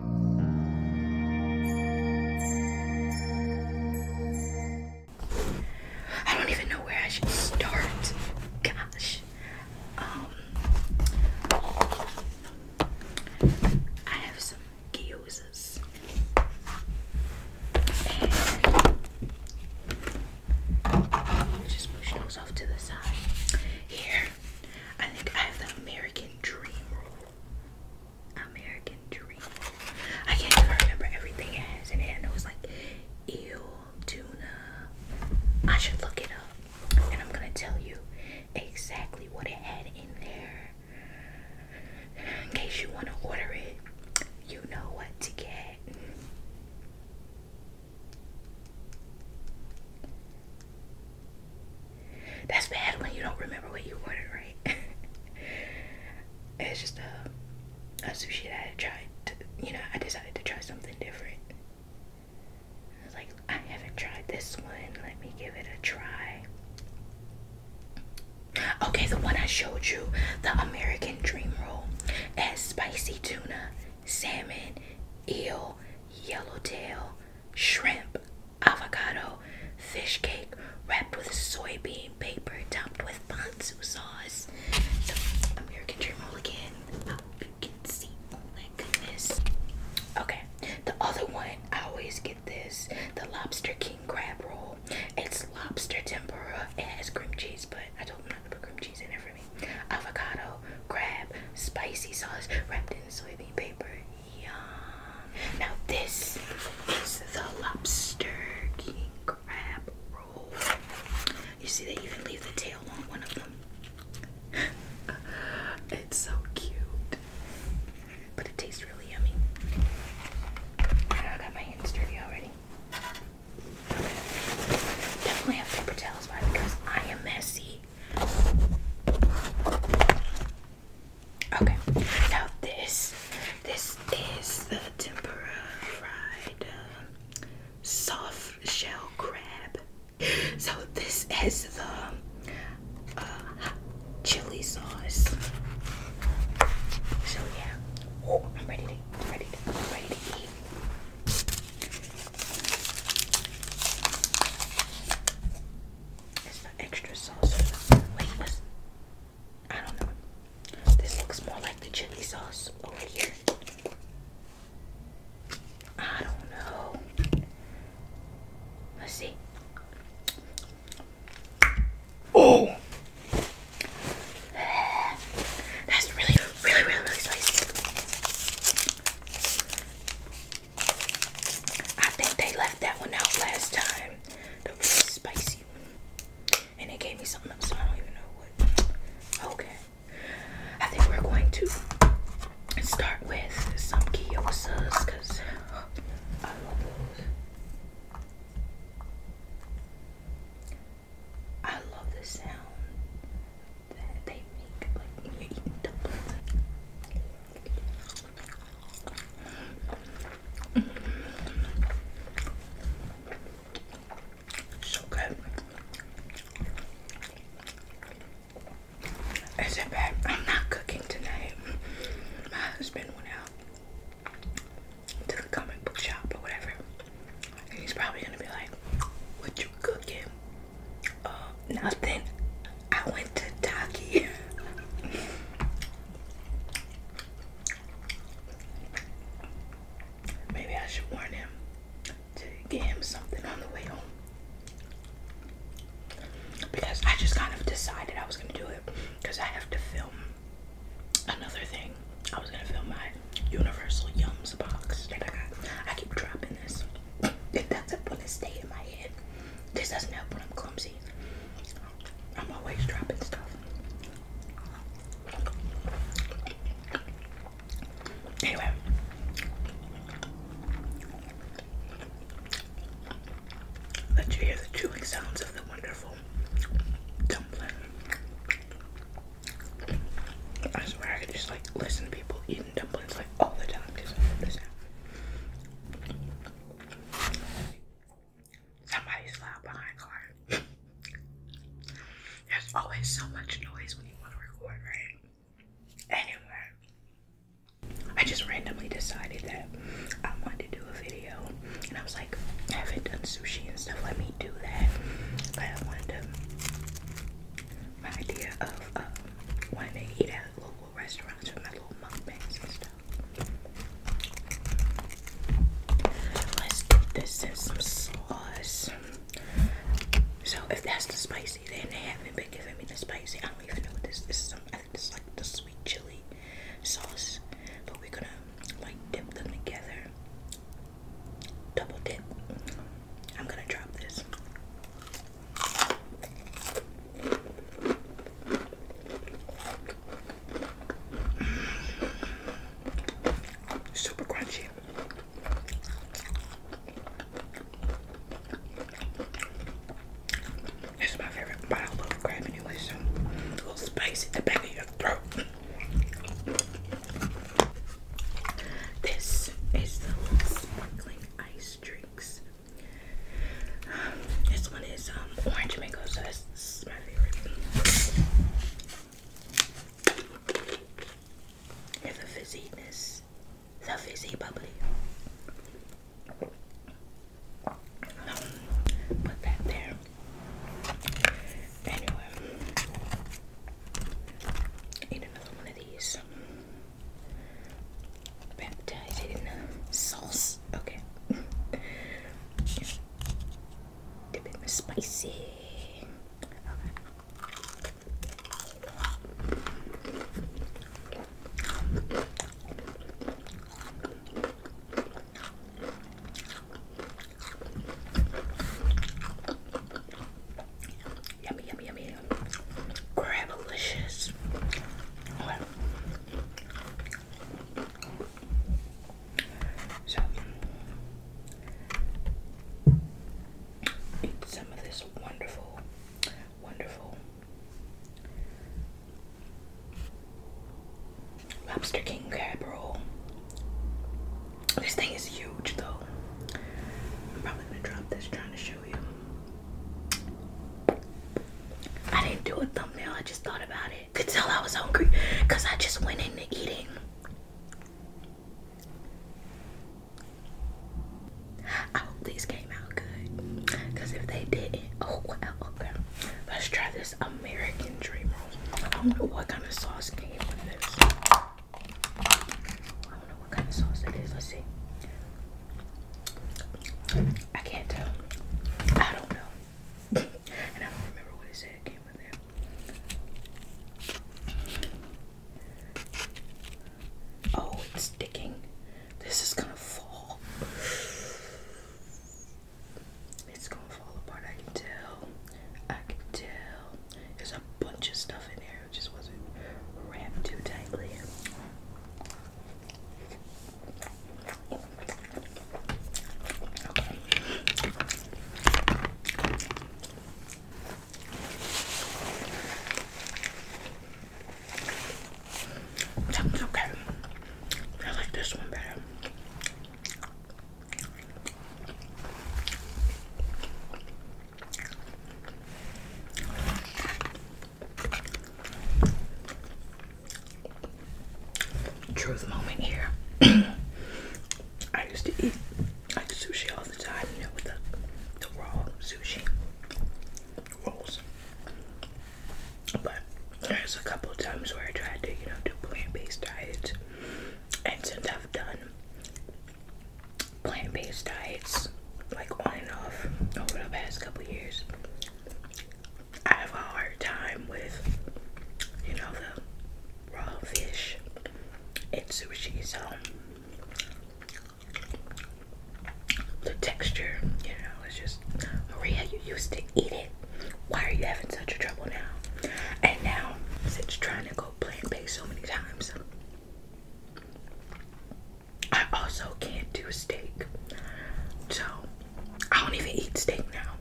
I don't even know where I should start. Gosh. Um, I have some gyozas. just push those off to the side. Here, I think I have the American Dream American Dream. I can't even remember everything it has in it. I know like eel, tuna. I should look it up. And I'm gonna tell you exactly what it had in there. In case you wanna order it, you know what to get. That's bad when you don't remember what you ordered, right? it's just a, uh, a sushi that I tried. you know, I decided to try something different. I like, I haven't tried this one. Let me give it a try. Okay, the one I showed you, the American Dream Roll, has spicy tuna, salmon, eel, yellowtail, shrimp, avocado, fish cake wrapped with soybean paper, topped with ponzu sauce. So American Dream Mulligan. Oh, you can see. Oh my goodness. Okay. The other one, I always get this. The Lobster King crab roll. It's lobster tempura. It has cream cheese, but I told them not to put cream cheese in there for me. Avocado, crab, spicy sauce wrapped in soybean paper. Now this is the lobster king crab roll. You see they even leave the tail on one of them. it's so cute. But it tastes really yummy. I got my hands dirty already. Definitely have paper towels by because I am messy. Okay, now this this is the tempura fried um, soft shell crab. So this is the uh, chili sauce. So yeah, oh, I'm ready ready ready to eat. It's for extra sauce. I don't know. This looks more like the chili sauce over here. I don't know. Let's see. Oh, that's really, really, really, really spicy. I think they left that one out last time. The really spicy one. And they gave me something else, I don't even know what. Okay. I think we're going to start with some gyozas because I love those. I love the sound that they make like when you're eating dumplings. So good. Is it bad? I'm not cooking tonight. My husband went out to the comic book shop or whatever. he's probably gonna be like, What you cooking? Uh, nothing. I went to Taki. Maybe I should warn him to get him something on the way home. Because I just kind of decided I was going to do it. Because I have to film another thing. I was going to film my Universal Yums box that I got. I keep dropping this. That's a bullet stay in my head. This doesn't help when I'm clumsy. I'm always dropping stuff. Anyway. Let you hear the chewing sounds of the wonderful dumpling. I swear I could just like listen to people eat there's always so much noise when you want to record, right? Anyway, I just randomly decided that I wanted to do a video, and I was like, I haven't done sushi and stuff. Let me do that. I wanted to my idea of um, wanting to eat at local restaurants with my little mukbangs and stuff. Let's dip this in some sauce. So if that's the spicy, then they haven't been giving me the spicy. I don't even know what this, is. this is like the sweet chili sauce, but we're gonna like dip them together. Double dip. I'm gonna drop this. Super crunchy. It's my favorite, but I love crab anyway, so a little spice at the back of your throat. This is the little sparkling ice drinks. Um, this one is um, orange mango, so that's, my favorite. It's a fizziness, the fizzy bubbly. Um, put that there. Anyway, another one of these. Baptized in sauce. Okay. Dip it in spicy. Okay. Yummy, yummy, yummy. Gravelicious. So, eat some of this wonderful, wonderful Lobster King crab roll. This thing is huge, though. I'm probably gonna drop this trying to show I didn't do a thumbnail, I just thought about it. Could tell I was hungry because I just went into eating. I hope these came out good. Because if they didn't, oh well, okay. Let's try this American dream roll. I don't know what kind of sauce came with this. I don't know what kind of sauce that is. Let's see. I can't tell. I don't know. and I don't remember what it said came with it. Oh, it's sticking. This is gonna fall. It's gonna fall apart. I can tell. I can tell. There's a bunch of stuff in there. It just wasn't wrapped too tightly. Okay. okay. I like this one better. Truth moment here. I used to eat like sushi all the time, you know, with the, the raw sushi rolls. But there's a couple of times where I tried to, you know, do plant based diets. And since I've done plant-based diets like on and off over the past couple years. I have a hard time with you know the raw fish and sushi so the texture, you know, it's just Maria you used to eat it. Why are you having such a trouble now? And now since trying to go plant based so many times I also can't do steak. So I don't even eat steak now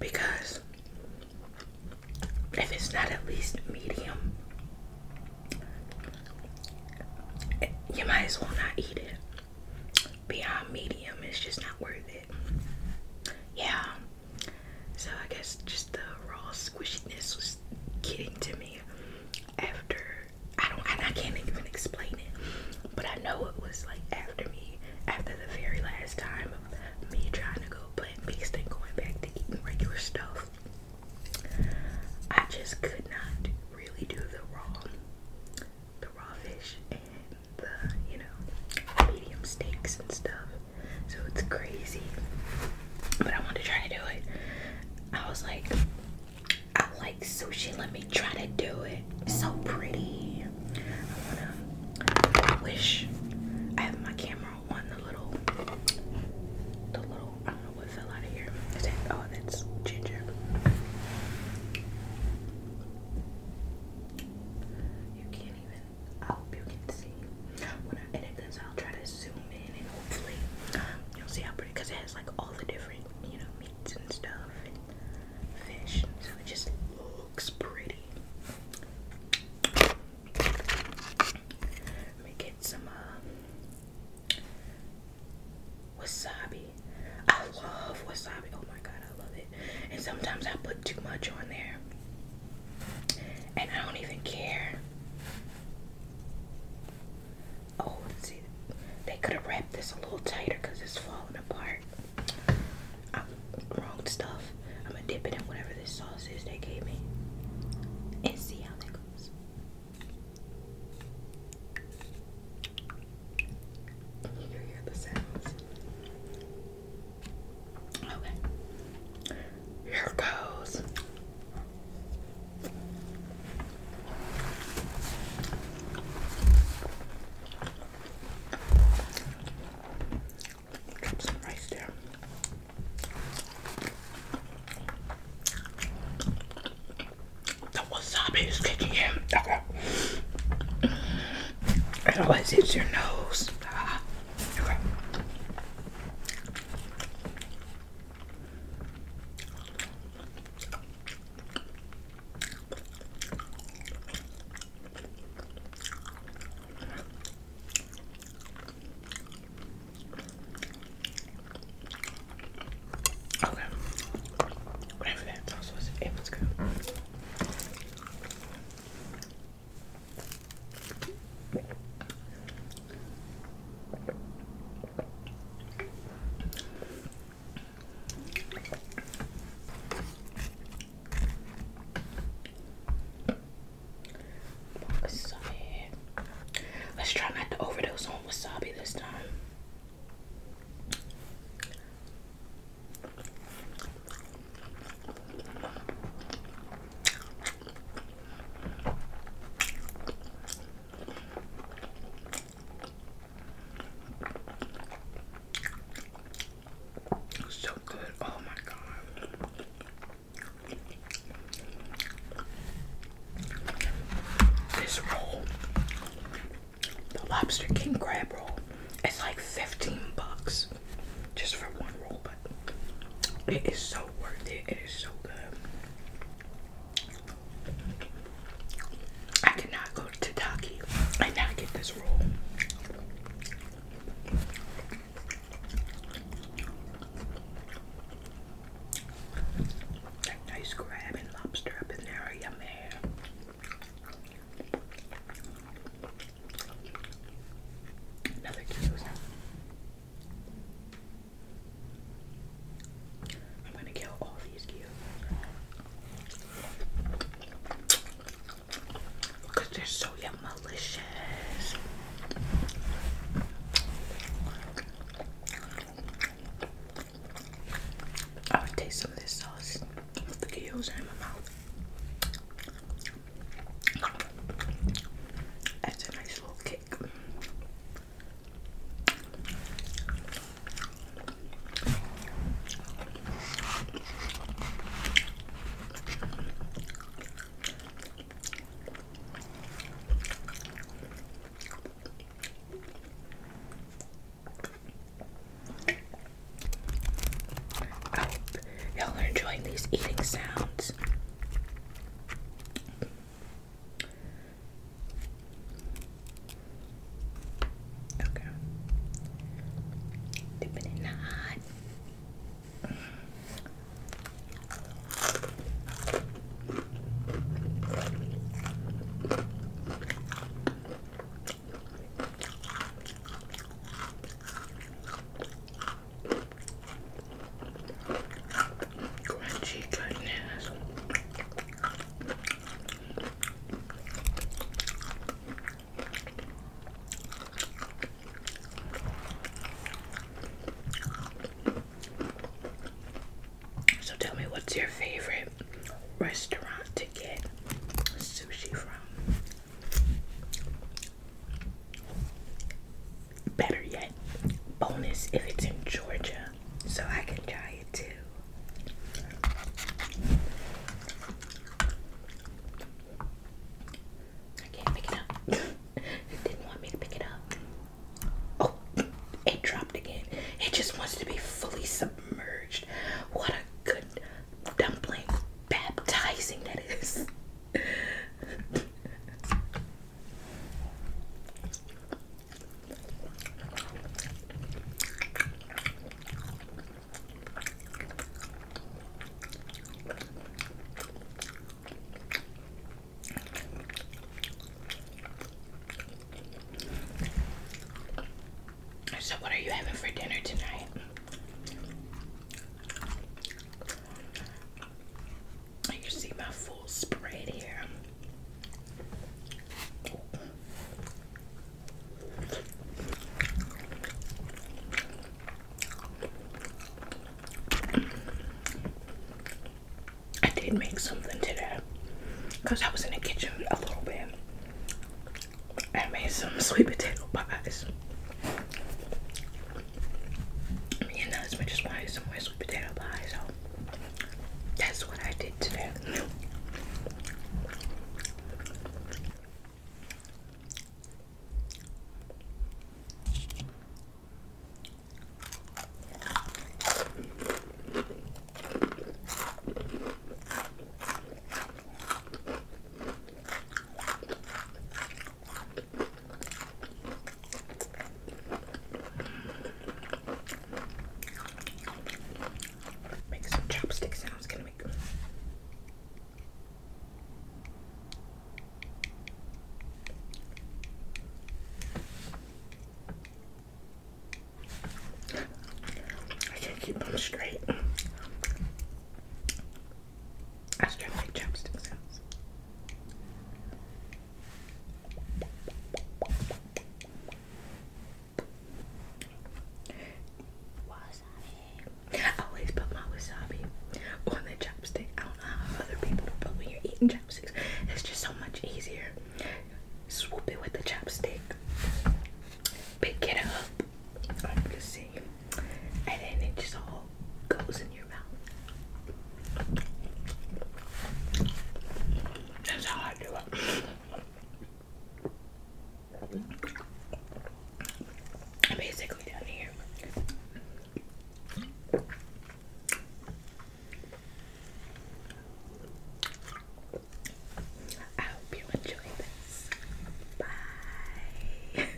because if it's not at least medium, you might as well not eat it. Beyond medium, it's just not worth it. Yeah. So I guess just the raw squishiness was getting to me after I don't I can't even explain it, but I know it was like after me after the very last time of me trying to go plant based and going back to eating regular stuff. I just could not really do the raw the raw fish and the you know medium steaks and stuff. So it's crazy but I wanted to try to do it. I was like, I like sushi. Let me try to do it. so pretty. I wanna. wish I have my camera on the little, the little. I don't know what fell out of here. Oh, that's ginger. You can't even. I hope you can see when I edit this out. I'll try to zoom in and hopefully you'll see how pretty because it has like all the different you know meats and stuff and fish so it just looks pretty. Let me get some uh, wasabi. I love wasabi. Oh my god, I love it. And sometimes I put too much on there, and I don't even care. Oh, see, they could have wrapped this a little tighter because it's falling apart. wrong stuff. I'm gonna dip it in whatever this sauce is they gave me and see how that goes. You hear the sounds. Okay. Here goes. Drop some rice there. The wasabi is kicking in. It always hits your nose. Ah. Okay. Whatever that sauce was, it was good. Wasabi. Let's try not to overdose on wasabi this time. So good. Oh my god. This roll, the lobster king crab roll, it's like 15 bucks just for one roll, but it is so it is so good. I cannot go to Taki and not get this roll. That nice crab and lobster up in Another cute. I'm gonna kill all these cubes because they're so yum malicious. I would taste some of this sauce with the gills in my mouth. That's a nice little kick. I oh, hope y'all are enjoying these eating sounds. Okay. Dipping it in the hot. Crunchy goodness. So tell me what's your favorite restaurant to get sushi from? Better yet, bonus if it's in Georgia, so I can try it too. I can't pick it up. didn't want me to pick it up. Oh, it dropped again. It just wants to be fully submerged. What a good dumpling. Baptizing that is. So, what are you having for dinner tonight? You see my full spread here. I did make something today because I was in the kitchen a little bit. I made some sweet potato pies. Me and husband just wanted some sweet potato pie, so that's what I did today. Make some chopstick sounds. Can I make I can't keep them straight. I was trying to make chopstick sounds. Wasabi. I always put my wasabi on the chopstick. I don't know how other people but when you're eating chopsticks. It's just so much easier. Swoop it with the chopstick. Pick it up. I'm just saying and then it just all goes in your mouth. That's how I do it. basically down here. I hope you enjoyed this. Bye.